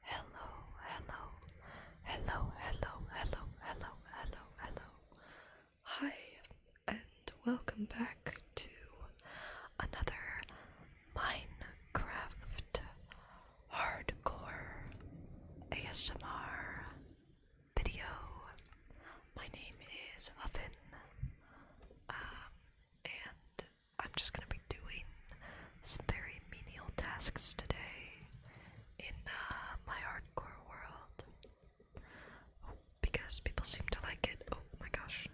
Hello, hello, hello, hello, hello, hello, hello, Hi, and welcome back to another Minecraft Hardcore ASMR video. My name is Muffin, um, and I'm just gonna be doing some very menial tasks today in uh, my hardcore world because people seem to like it. Oh my gosh,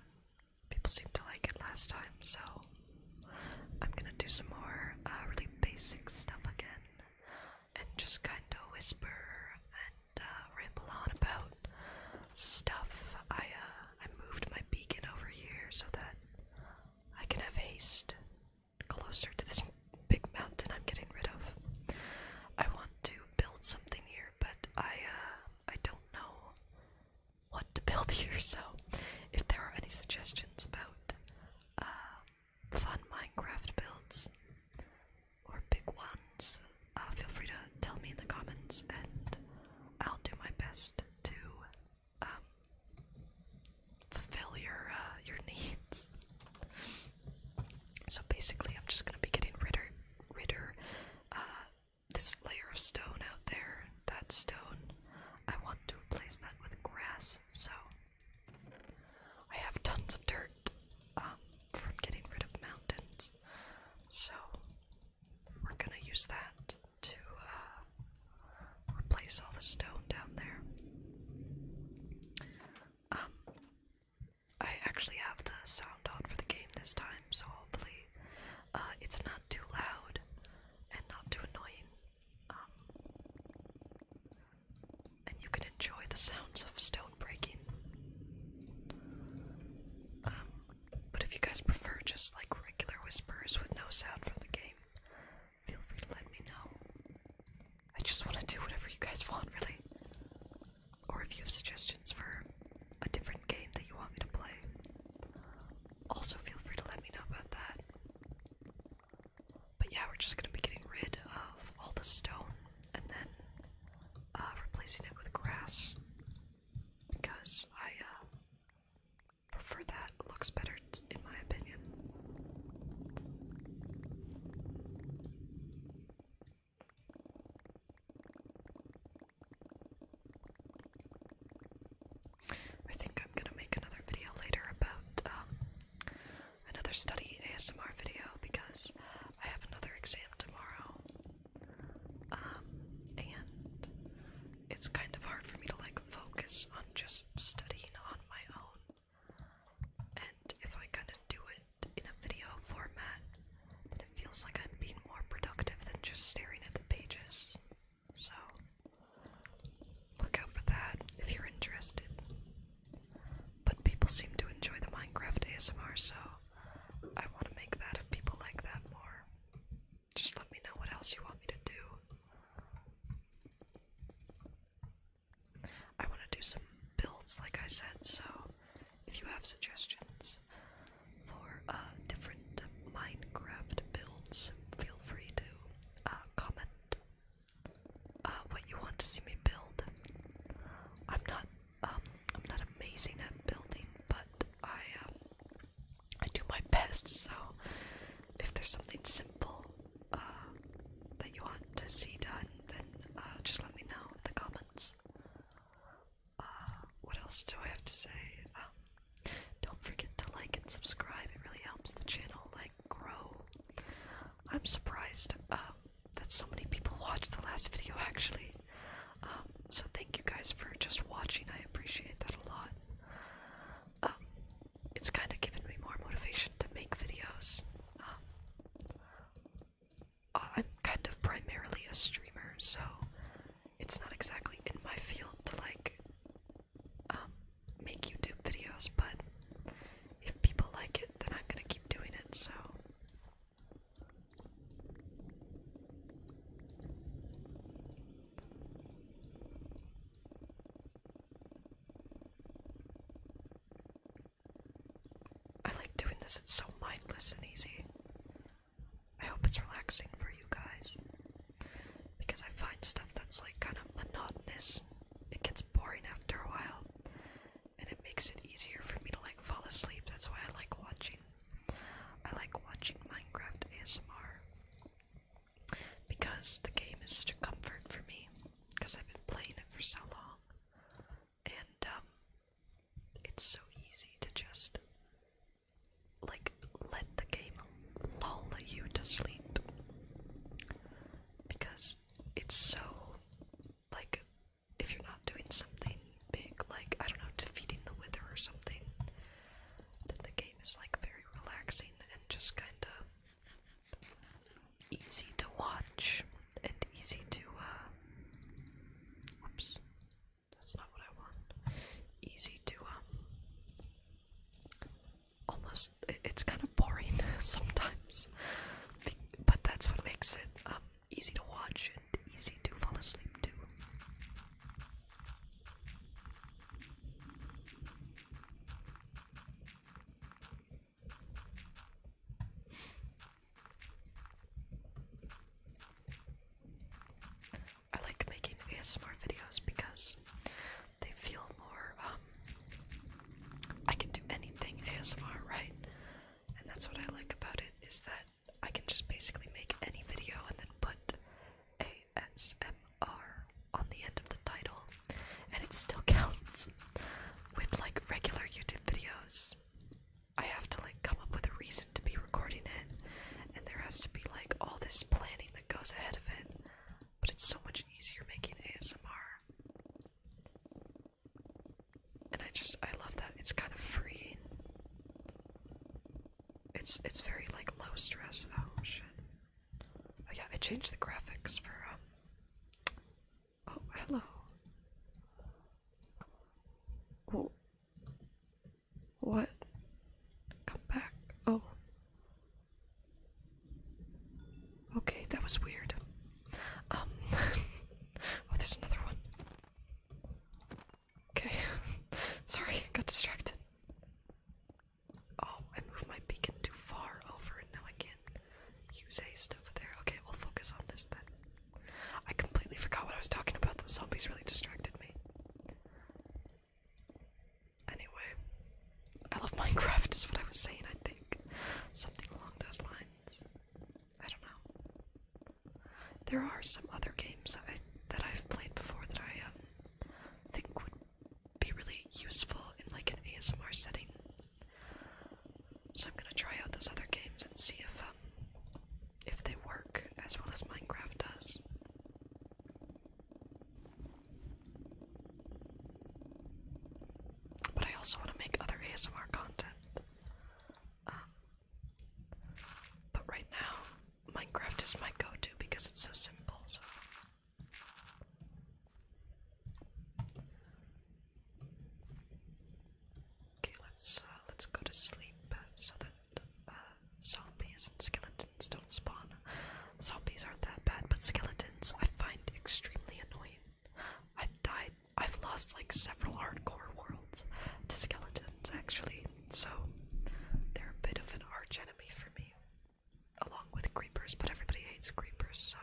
people seem to like it last time, so I'm gonna do some more uh, really basic stuff again and just kind of whisper and uh, ramble on about stuff. I uh, I moved my beacon over here so that I can have haste closer to this big mountain I'm getting rid of. I want to build something here, but I uh, I don't know what to build here. So, if there are any suggestions about uh, fun Minecraft builds or big ones, uh, feel free to tell me in the comments, and I'll do my best to um, fulfill your uh, your needs. So basically, I'm just gonna be getting ridder, ridder, uh, this layer of stone out there. That stone, I want to replace that with grass. So I have tons of dirt um, from getting rid of mountains. So we're gonna use that to uh, replace all the stone down there. Um, I actually have the sound on for the game this time, so hopefully uh, it's not too loud and not too annoying. Um, and you can enjoy the sounds of stone breaking. Um, but if you guys prefer just like regular whispers with no sound from the game, feel free to let me know. I just want to do whatever you guys want, really. Or if you have suggestions for a different game that you want me to play, also feel free to let me know about that. But yeah, we're just gonna be getting rid of all the stone and then uh, replacing it with grass because I uh, prefer that. looks better, in my opinion. I think I'm gonna make another video later about um, another study ASMR video because I have another exam tomorrow um, and it's kind of hard for me to like focus on just studying on my own. And if I kind of do it in a video format, then it feels like I'm being more productive than just staring at the pages. So, look out for that if you're interested. But people seem to enjoy the Minecraft ASMR, so I want to make that if people like that more. Just let me know what else you want me to do. I want to do some builds, like I said, so if you have suggestions for uh, different Minecraft builds, feel free to uh, comment uh, what you want to see me build. I'm not um, I'm not amazing at building, but I um, I do my best. So if there's something simple uh, that you want to see done, then uh, just let me know in the comments. Uh, what else do I have to say? Um, don't forget to like and subscribe. It really helps the channel like grow. I'm surprised that so many people watched the last video. Actually, um, so thank you guys for just watching. I appreciate that a lot. Um, it's kind of given me more motivation to make videos. Um, I'm kind of primarily a streamer, so it's not exactly in my field to like make YouTube videos, but if people like it, then I'm gonna keep doing it, so I like doing this, it's so mindless and easy. I hope it's relaxing for you guys. Because I find stuff that's like kind of monotonous, it gets boring after a while, and it makes it easier for me to like fall asleep. That's why I like watching I like watching Minecraft ASMR because the game is such a comfort for me because I've been playing it for so long and um, it's so easy to just like let the game lull you to sleep because it's so like if you're not doing something big, like, I don't know, defeating the Wither or something, then the game is, like, very relaxing and just kinda easy to watch and easy to, uh, that's not what I want, easy to, um, almost, it's kind of boring sometimes, but that's what makes it, um, easy to watch and easy to fall asleep to. I like making ASMR videos because they feel more, um, I can do anything ASMR, right? And that's what I like about it, is that I can just basically make any video and then put ASMR on the end of the title, and it still counts. With like regular YouTube videos, I have to like come up with a reason to be recording it, and there has to be like all this planning that goes ahead of it. But it's so much easier making ASMR. And I just, I love that. It's kind of free. It's it's very like low stress. Oh shit. Oh yeah, I changed the graphics for um Oh, hello. Oh. What? Come back. Oh. Okay, that was weird. Um Oh, there's another one. Okay. Sorry, I got distracted. Oh, I moved my beacon too far over and now I can't use haste over there. Okay, we'll focus on this then. I completely forgot what I was talking about. The zombies really distracted me. Anyway, I love Minecraft is what I was saying, I think. Something along those lines. I don't know. There are some other games that I've played before that I um, think would be really useful in like an ASMR setting. So I'm gonna try out those other games and see if um, if they work as well as Minecraft does. But I also want to make other ASMR content. Um, but right now, Minecraft is my go to because it's so simple. So. Okay, let's uh, let's go to sleep so that uh, zombies and skeletons don't spawn. Zombies aren't that bad, but skeletons I find extremely annoying. I've died. I've lost like several hardcore worlds to skeletons actually so they're a bit of an arch enemy for me, along with creepers, but everybody hates creepers, so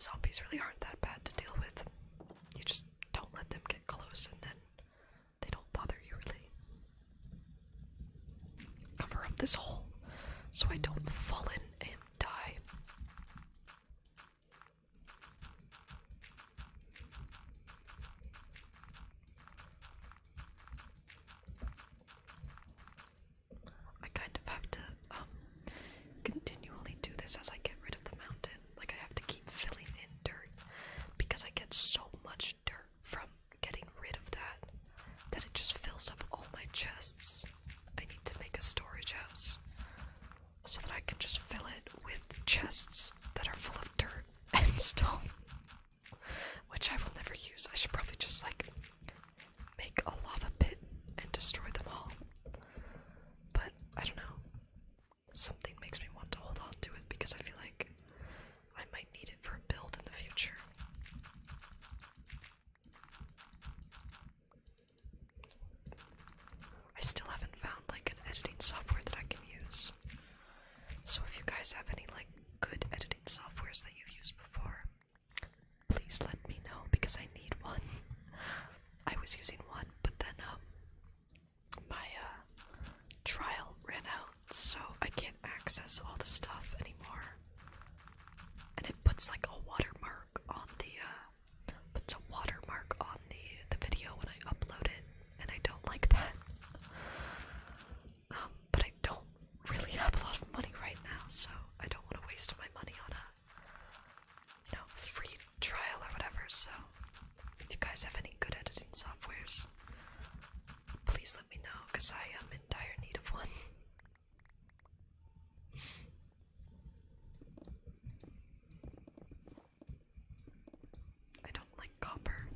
zombies really aren't that bad to deal with. You just don't let them get close and then they don't bother you really. Cover up this hole so I don't fall in and die. I kind of have to um continually do this as I get rid of the mountain. Like I have to keep filling in dirt because I get so much dirt from getting rid of that that it just fills up all my chests. I need to make a storage house so that I can just fill it with chests that are full of dirt and stone, which I will never use. I should probably just like make a lava pit and destroy them all. But I don't know. Something makes me want to hold on to it because I feel like I might need it for a build in the future. I still haven't found like an editing software that I can use. So if you guys have any like good editing softwares that you've used before, please let me know because I need one. I was using one, but then um my uh, trial ran out, so I can't access all the stuff anymore. And it puts like a watermark on the uh puts a watermark on the the video when I upload it, and I don't like that. Um, but I don't really have a lot of money right now, so I don't want to waste my money on a you know free trial or whatever. So if you guys have any good editing softwares, please let me know because I am in dire need of one. I don't like copper.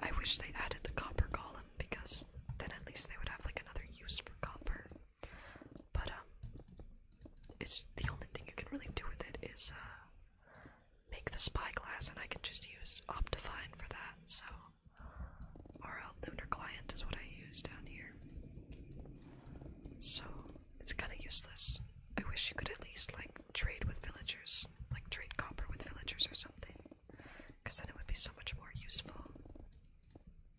I, wish they added the copper column because then at least they would have like another use for copper. But um it's the only thing you can really do with it is uh make the spyglass and I can just use Optifine for that, so our lunar client is what I use down here. So it's kinda useless. I wish you could at least like trade with villagers, like trade copper with villagers or something. Because then it would be so much more useful.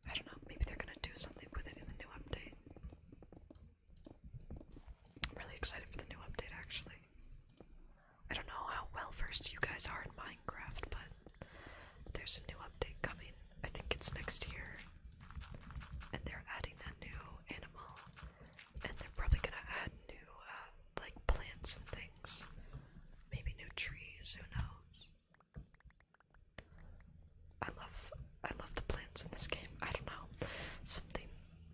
I don't know, maybe they're gonna do something with it in the new update. I'm really excited for the new update actually. I don't know how well versed you guys are in Minecraft, but there's a new update coming. I think it's next year and they're adding a new animal, and they're probably gonna add new, uh, like plants and things. Maybe new trees. Who knows? I love, I love the plants in this game. I don't know, something.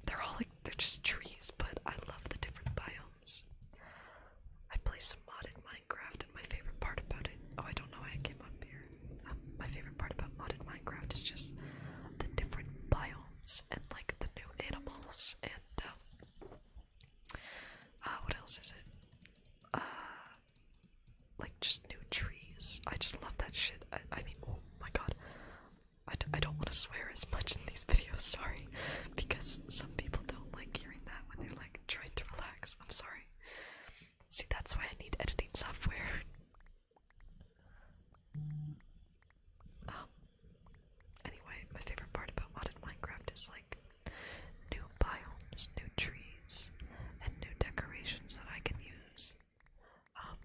They're all like they're just trees, but I love the different biomes. I play some modded Minecraft, and my favorite part about it. Oh, I don't know why I came up here my favorite part about modded Minecraft is just the different biomes and like the new animals and um, uh, what else is it? Uh, like just new trees. I just love that shit. I, mean, oh my god. I d I don't want to swear as much in these videos, sorry, because some people don't like hearing that when they're like trying to relax. I'm sorry. See, that's why I need editing software. Um, anyway, my favorite part about modded Minecraft is like new biomes, new trees, and new decorations that I can use. Um,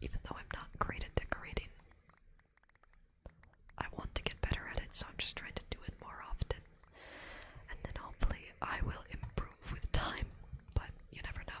even though I'm not great at decorating, I want to get better at it, so I'm just trying to do it more often. And then hopefully I will improve with time, but you never know.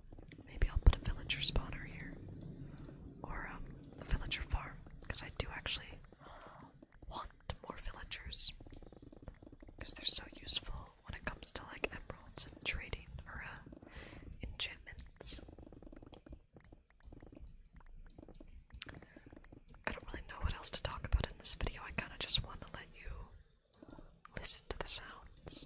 Maybe I'll put a villager spawner here. Or um, a villager farm. Because I do actually want more villagers. Because they're so useful when it comes to like emeralds and trading or uh, enchantments. I don't really know what else to talk about in this video. I kind of just want to let you listen to the sounds.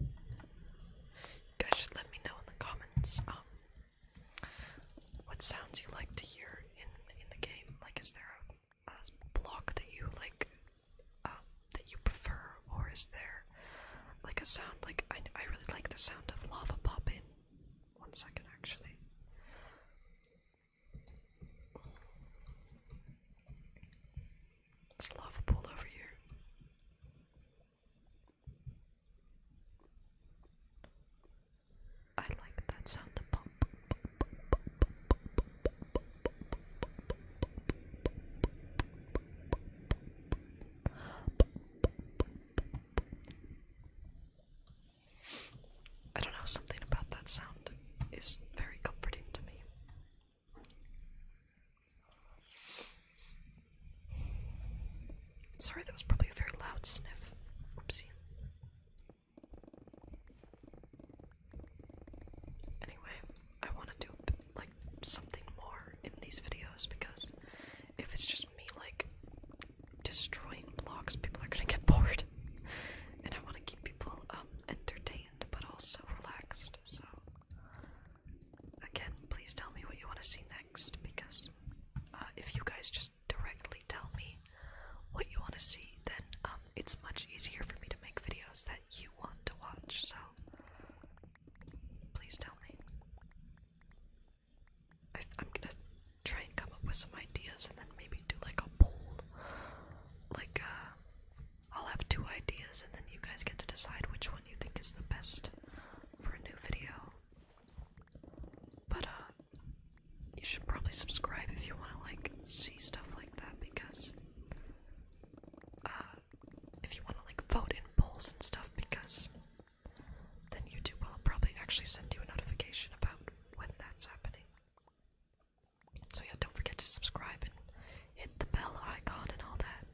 You guys should let me know in the comments um what sounds you like to hear in in the game. Like, is there a, block that you like um, that you prefer, or is there like a sound like I I really like the sound of lava popping. One second, actually. It's lava pool over here. I like that sound, the pump. I don't know, something about that sound is very comforting to me. Sorry, that was probably a very loud sniff. Oopsie. Anyway, I want to do like something more in these videos because if it's just me like destroying blocks, people are gonna get bored, and I want to keep people um, um, entertained but also relaxed. So, again, please tell me what you want to see next because uh, if you guys just directly tell me what you want to see, then um, it's much easier for me to make videos that you want to watch. So, please tell me. I am gonna try and come up with some ideas and then maybe do like a poll, like uh, I'll have two ideas, and then you guys get to decide which one you think is the best for a new video. But uh, you should probably subscribe if you want to like see stuff like that because uh, if you want to like vote in polls and stuff because then YouTube will probably actually send you a notification about when that's happening. So yeah, don't forget to subscribe and hit the bell icon and all that.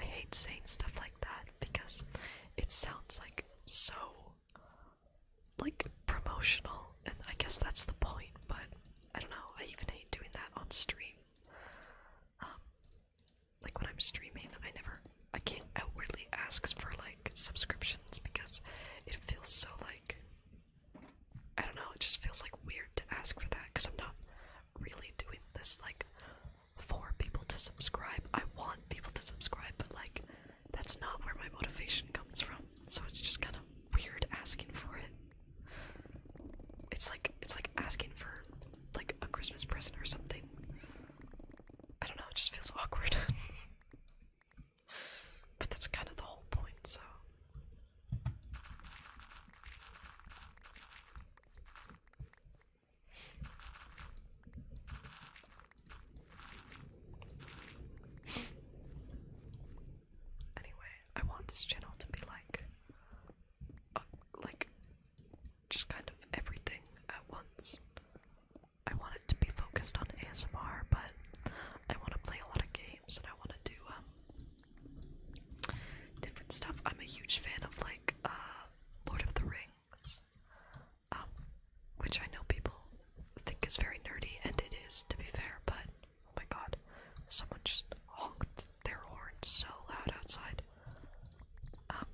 I hate saying stuff like that because it sounds like so like promotional and I guess that's the point, but I don't know, I even hate doing that on stream. Um like when I'm streaming, I never I can't outwardly ask for like subscriptions because it feels so like I don't know, it just feels like weird to ask for that because I'm not really doing this like for people to subscribe. I want people to subscribe, but like that's not where my motivation comes from. So it's just kind of weird asking for it. It's like it's like asking for like a Christmas present or something. I don't know, it just feels awkward. But that's kind of the whole point, so. Anyway, I want this channel to be like, uh, like, just kind of everything at once. I want it to be focused on ASMR, but I want to play a lot of games and I want to do um, different stuff. I'm a huge fan of like uh, Lord of the Rings, um, which I know people think is very nerdy, and it is to be fair. But oh my god, someone just honked their horn so loud outside. Um,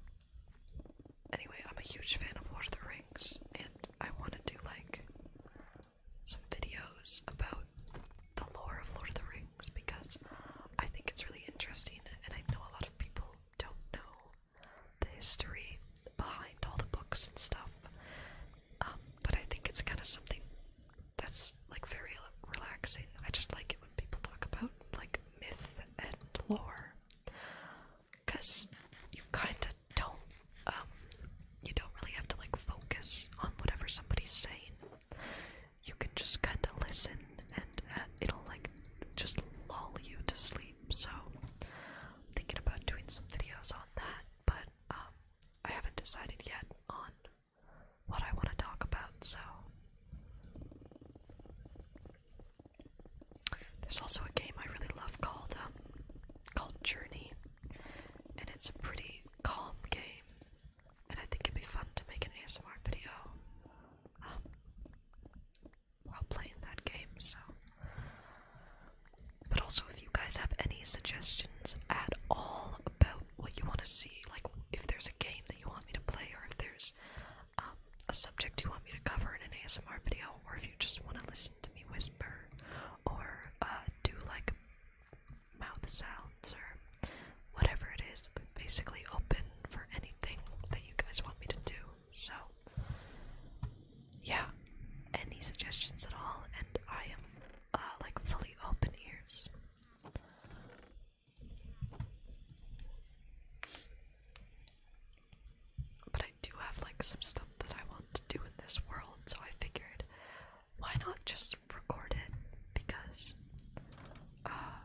anyway, I'm a huge fan of Lord of the Rings, and I want to do like some videos about the lore of Lord of the Rings because I think it's really interesting and I know a lot of people don't know the history behind all the books and stuff. Um, but I think it's kind of something that's like very relaxing. I just like it when people talk about like myth and lore because you kind of don't um, you don't really have to like focus on whatever somebody's saying. You can just kind of listen and uh, it'll like just lull you to sleep. So I'm thinking about doing some videos on that, but um, I haven't decided yet on what I want to talk about. So there's also a game I really love called um, called Journey, and it's a pretty calm game, and I think it'd be fun to make an ASMR video um, while playing that game. So, but also if you guys have any suggestions at all about what you want to see, like if there's a game that you want me to play, or if there's um, a subject you want me to cover in an ASMR video, or if you just want to listen to me whisper, or uh, do like mouth sounds or whatever it basically open for anything that you guys want me to do. So, yeah, any suggestions at all, and I am uh, like fully open ears. But I do have like some stuff that I want to do in this world, so I figured why not just record it? Because uh,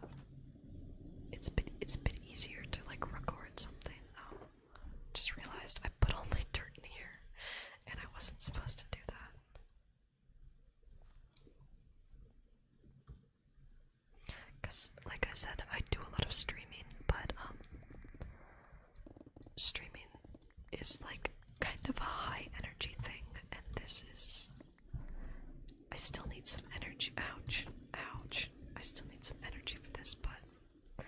it's been it's been easier to like record something. Um, just realized I put all my dirt in here, and I wasn't supposed to do that. Cause, like I said, I do a lot of streaming, but um, streaming is like kind of a high energy thing, and this is. I still need some energy. Ouch. Ouch. I still need some energy for this, but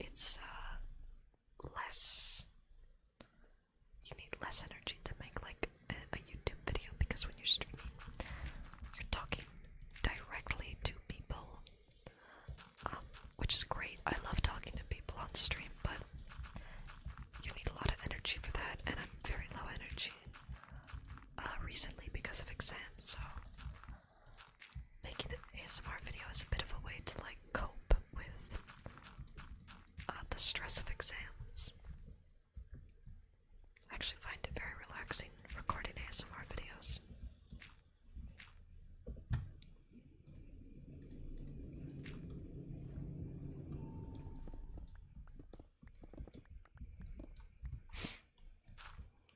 it's uh, less. You need less energy to make like a, YouTube video because when you're streaming, you're talking directly to people um, which is great. I love talking to people on stream, but you need a lot of energy for that, and I'm very low energy uh, recently because of exams, so making an ASMR video is a bit of a way to like cope with uh, the stress of exams. I actually find it very relaxing recording ASMR videos.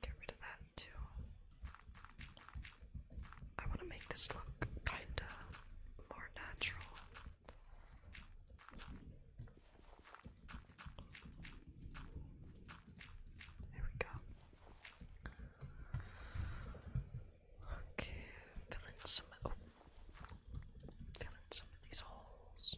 Get rid of that too. I want to make this look kinda more natural. There we go. Okay, fill in some of oh, fill in some of these holes.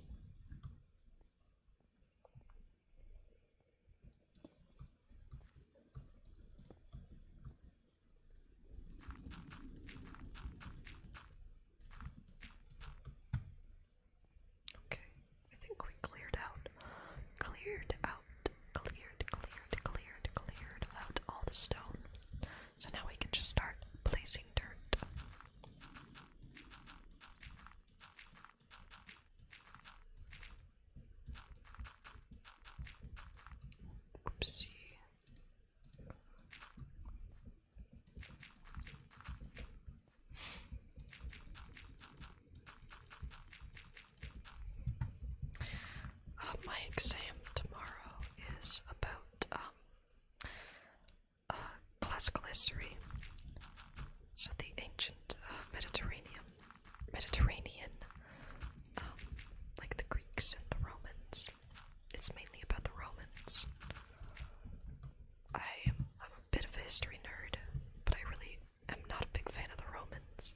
Okay, I think we cleared out, cleared out cleared, cleared, cleared, cleared out all the stone. So now we can just start placing dirt. Oopsie. Uh, my exam tomorrow is about um, uh, classical history, so the ancient uh, Mediterranean, Mediterranean, um, like the Greeks and the Romans. It's mainly about the Romans. I'm a bit of a history nerd, but I really i am not a big fan of the Romans,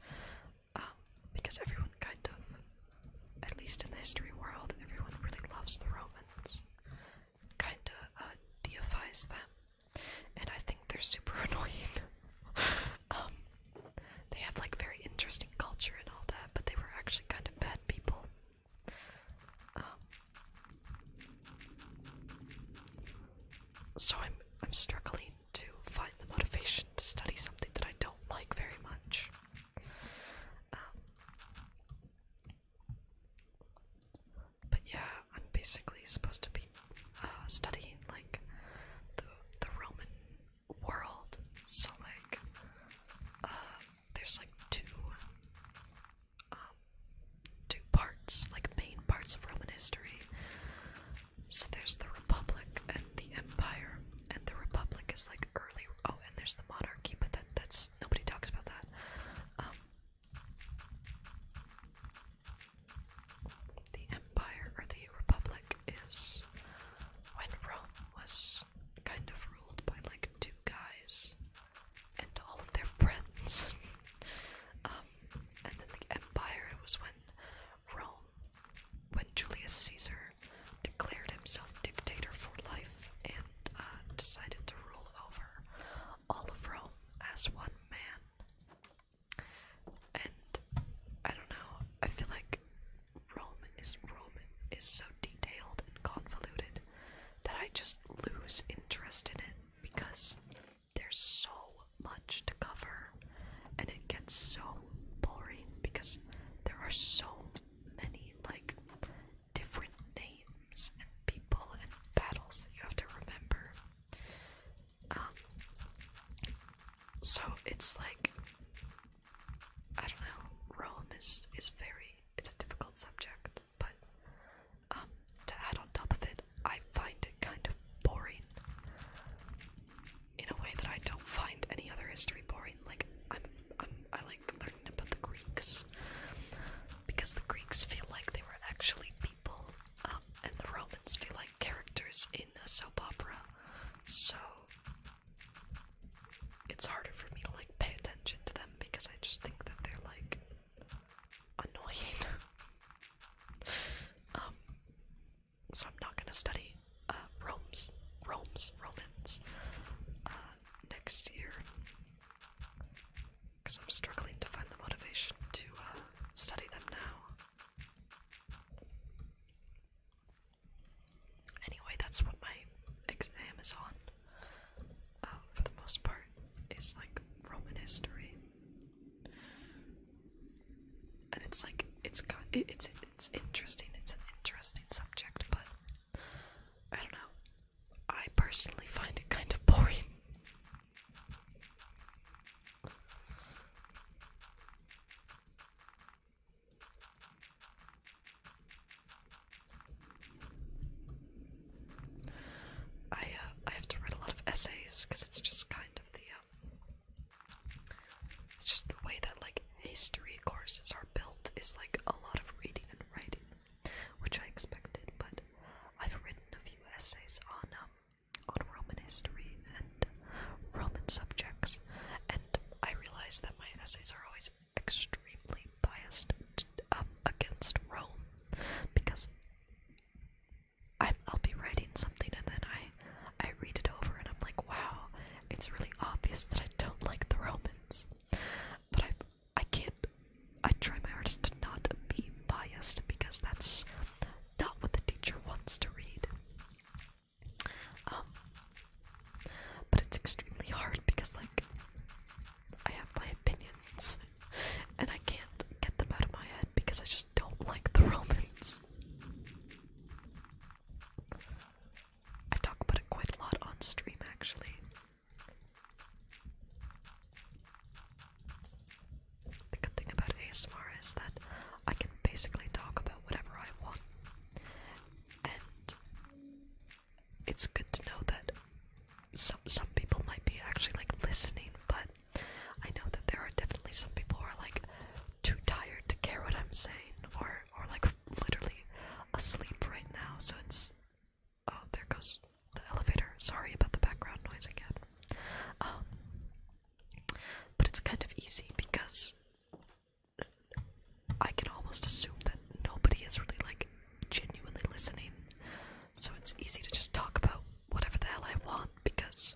um, because everyone kind of, at least in the history world, everyone really loves the Romans, kind of uh, deifies them, and I think they're super annoying. Um, they have like very interesting culture and all that, but they were actually kind of bad people. Um, so I'm I'm struggling to find the motivation to study something that I don't like very much. Um, but yeah, I'm basically supposed to be uh, studying like the the Roman world. So like, uh, there's like two. Um, two parts, like main parts of Roman history. So there's the Republic and the Empire, and the Republic is like early. Oh, and there's the Monarchy, but that that's nobody talks about that. Um, the Empire or the Republic is when Rome was kind of ruled by like two guys and all of their friends. Um, and then the Empire was when Rome, when Julius Caesar declared himself dictator for life and uh, decided to rule over all of Rome as one man. And I don't know, I feel like Rome is Rome is so detailed and convoluted that I just lose interest in it because they're so much to cover and it gets so boring because there are so many like different names and people and battles that you have to remember. Um, so it's like I don't know, Rome is is very it's a difficult subject, but um, to add on top of it, I find it kind of boring in a way that I don't find any other history boring. Like I'm, I'm, I like learning about the Greeks because the Greeks feel like they were actually people, um, and the Romans feel like characters in a soap opera. So it's harder for me to like pay attention to them because I just think that they're like annoying. Um, so I'm not going to study uh, Rome's, Rome's Romans uh, next year because I'm struggling to find the motivation to uh, study them now. Anyway, that's what my exam is on uh, for the most part, is like Roman history and it's like it it's it's interesting. It's an interesting subject, but I don't know. I personally find it kind of boring. I uh, I have to write a lot of essays because it's just kind of the it's just the way that like history courses are built is like a lot of reading and writing, which I expected. But I've written a few essays on um, on Roman history and Roman subjects, and I realize that my essays are always extremely biased up um, against Rome because I'm, will be writing something and then I, I read it over and I'm like, wow, it's really obvious that I don't like the Romans. But I, I can't. I try my hardest to not be biased because that's not what the teacher wants to read. Um, but it's extremely hard because, like, I have my opinions and I can't get them out of my head because I just don't like the Romans. I talk about it quite a lot on stream, actually. The good thing about ASMR is that I can basically talk about whatever I want, and it's good to know that some some people might be actually like listening, but I know that there are definitely some people who are like too tired to care what I'm saying, or or like literally asleep right now. So it's oh, there goes the elevator. Sorry about the background noise again. Um, but it's kind of easy because I can almost assume that nobody is really like genuinely listening. So it's easy to just talk about whatever the hell I want because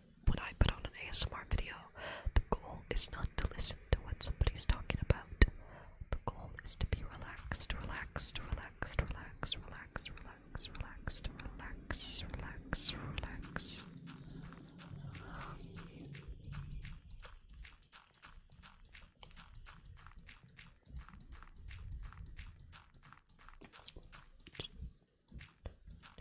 when I put on an ASMR video, the goal is not to listen to what somebody's talking about. The goal is to be relaxed, relaxed, relaxed, relaxed, relaxed, relaxed, relaxed, relax, relax, relax.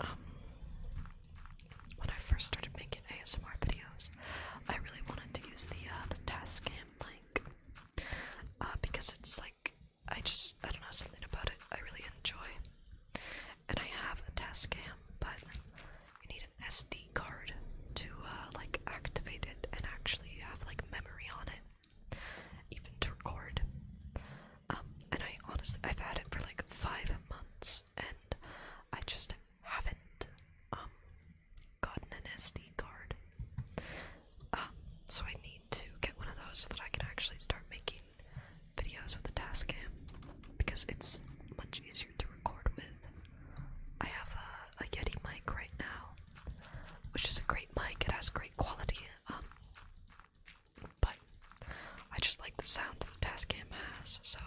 Um, when I first started making ASMR videos, I really wanted to use the uh, the Tascam mic uh, because it's like I just I don't know something about it I really enjoy, and I have a Tascam, but you need an SD card to uh, like activate it and actually have like memory on it, even to record. Um, and I honestly, I've had it for like five months, and I just haven't um, gotten an SD card. Um, so I need to get one of those so that I can actually start making videos with the cam because it's much easier to record with. I have a uh, a Yeti mic right now, which is a great mic. It has great quality, um, but I just like the sound that the Tascam has. So.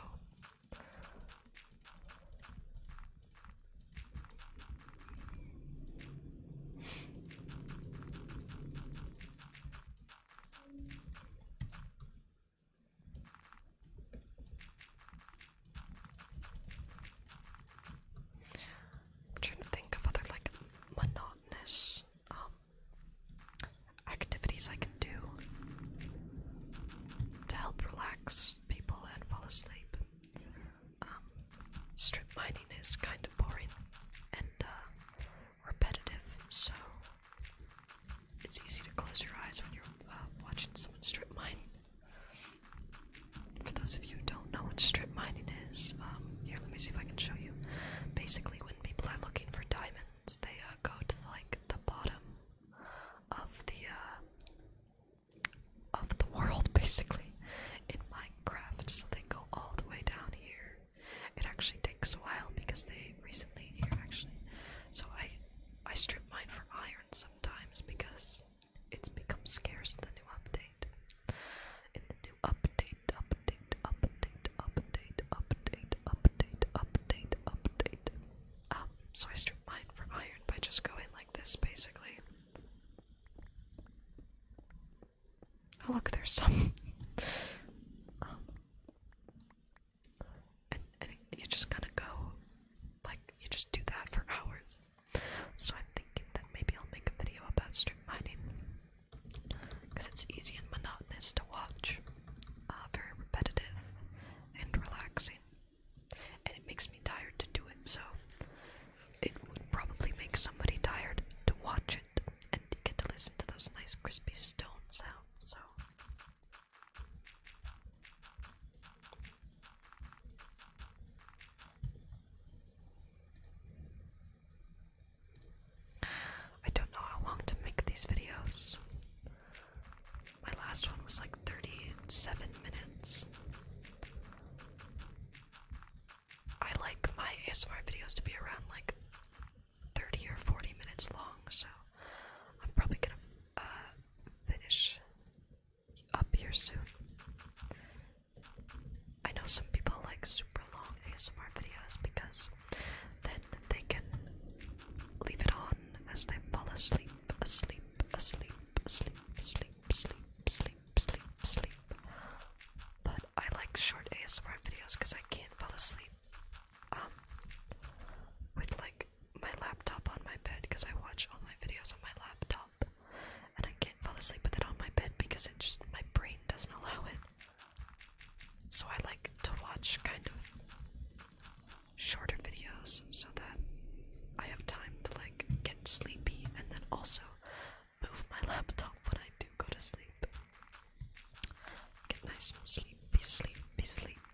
I'm trying to think of other like monotonous um, activities I can do to help relax people and fall asleep. Um, strip mining is kind of boring and uh, repetitive, so it's easy to close your eyes when you're uh, watching someone strip mine. For those of you who don't know what strip mining is, um, here, let me see if I can show you. Basically, when people are looking for diamonds, they uh, go to the, like the bottom of the uh, of the world, basically, in Minecraft. So they go all the way down here. It actually takes a while because they recently here actually. So I I strip mine for iron sometimes because it's become scarce in the new update. In the new update, update, update, update, update, update, update, update. Um, so I stripped mine for iron by just going like this, basically. Oh look, there's some. Um, and, and you just kind of go, like, you just do that for hours. So I'm thinking that maybe I'll make a video about strip mining, because it's easy and monotonous to watch, uh, very repetitive and relaxing, and it makes me tired to do it, so it would probably make somebody tired to watch it and get to listen to those nice crispy stone sounds, so I don't know how long to make these videos. My last one was like 37 minutes. I like my ASMR videos to be around like 30 or 40 minutes long, so I'm probably gonna uh, finish up here soon. I know some people like super long ASMR videos because then they can leave it on as they fall asleep, asleep, asleep, asleep, sleep, sleep, sleep, sleep, sleep. But I like short ASMR videos because I can't fall asleep um with like my laptop on my bed because I watch all my videos on my laptop and I can't fall asleep with it on my bed because it just my brain doesn't allow it. So I like to watch kind of shorter videos so that I have time to like get sleepy and then also move my laptop when I do go to sleep. Get nice and sleep. Be sleep. Be sleep.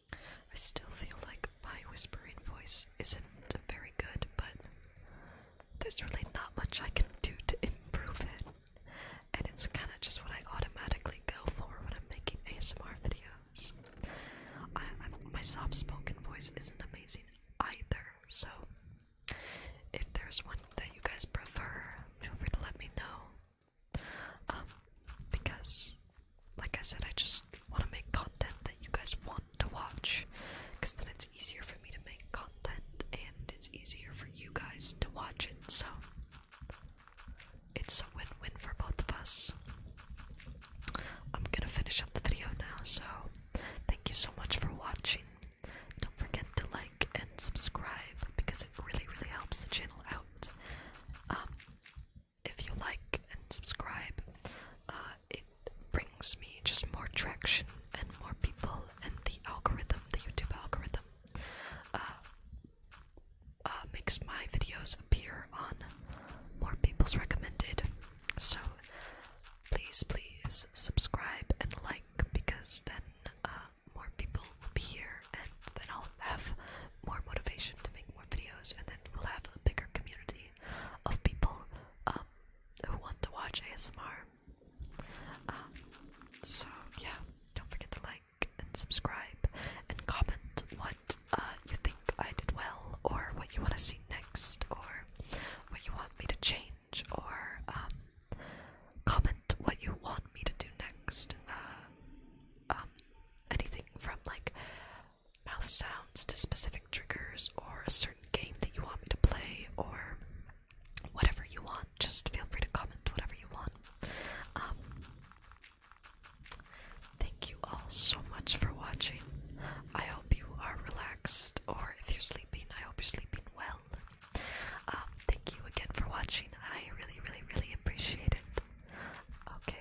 I still feel like my whispering voice isn't very good, but there's really not much I can do to improve it. And it's kind of just what I automatically go for when I'm making ASMR videos. my soft spoken voice isn't amazing either, so if there's one that you guys prefer, feel free to let me know. Um, because like I said, I just want to make content that you guys want to watch because then it's easier for me to make content and it's easier for you guys to watch it. So it's a win win for both of us. I'm gonna finish up the video now, so thank you so much for watching. Don't forget to like and subscribe because it really, really helps the channel out. Um, if you like and subscribe, uh, it brings me just more traction and more people and the algorithm, the YouTube algorithm, uh, uh, makes my videos appear on more people's recommended. So please, please subscribe and like because then more people will be here and then I'll have more motivation to make more videos and then we'll have a bigger community of people um, who want to watch ASMR. Um, so yeah, don't forget to like and subscribe and comment what uh, you think I did well, or what you want to see next, or what you want me to change, or um, comment what you want me to do next. Uh, anything from like mouth sounds to specific triggers or a certain game that you want me to play or whatever you want. Just feel free to comment whatever you want. Um, thank you all so much for watching. I hope you are relaxed, or if you're sleeping, I hope you're sleeping well. Um, thank you again for watching. I really, really, really appreciate it. Okay,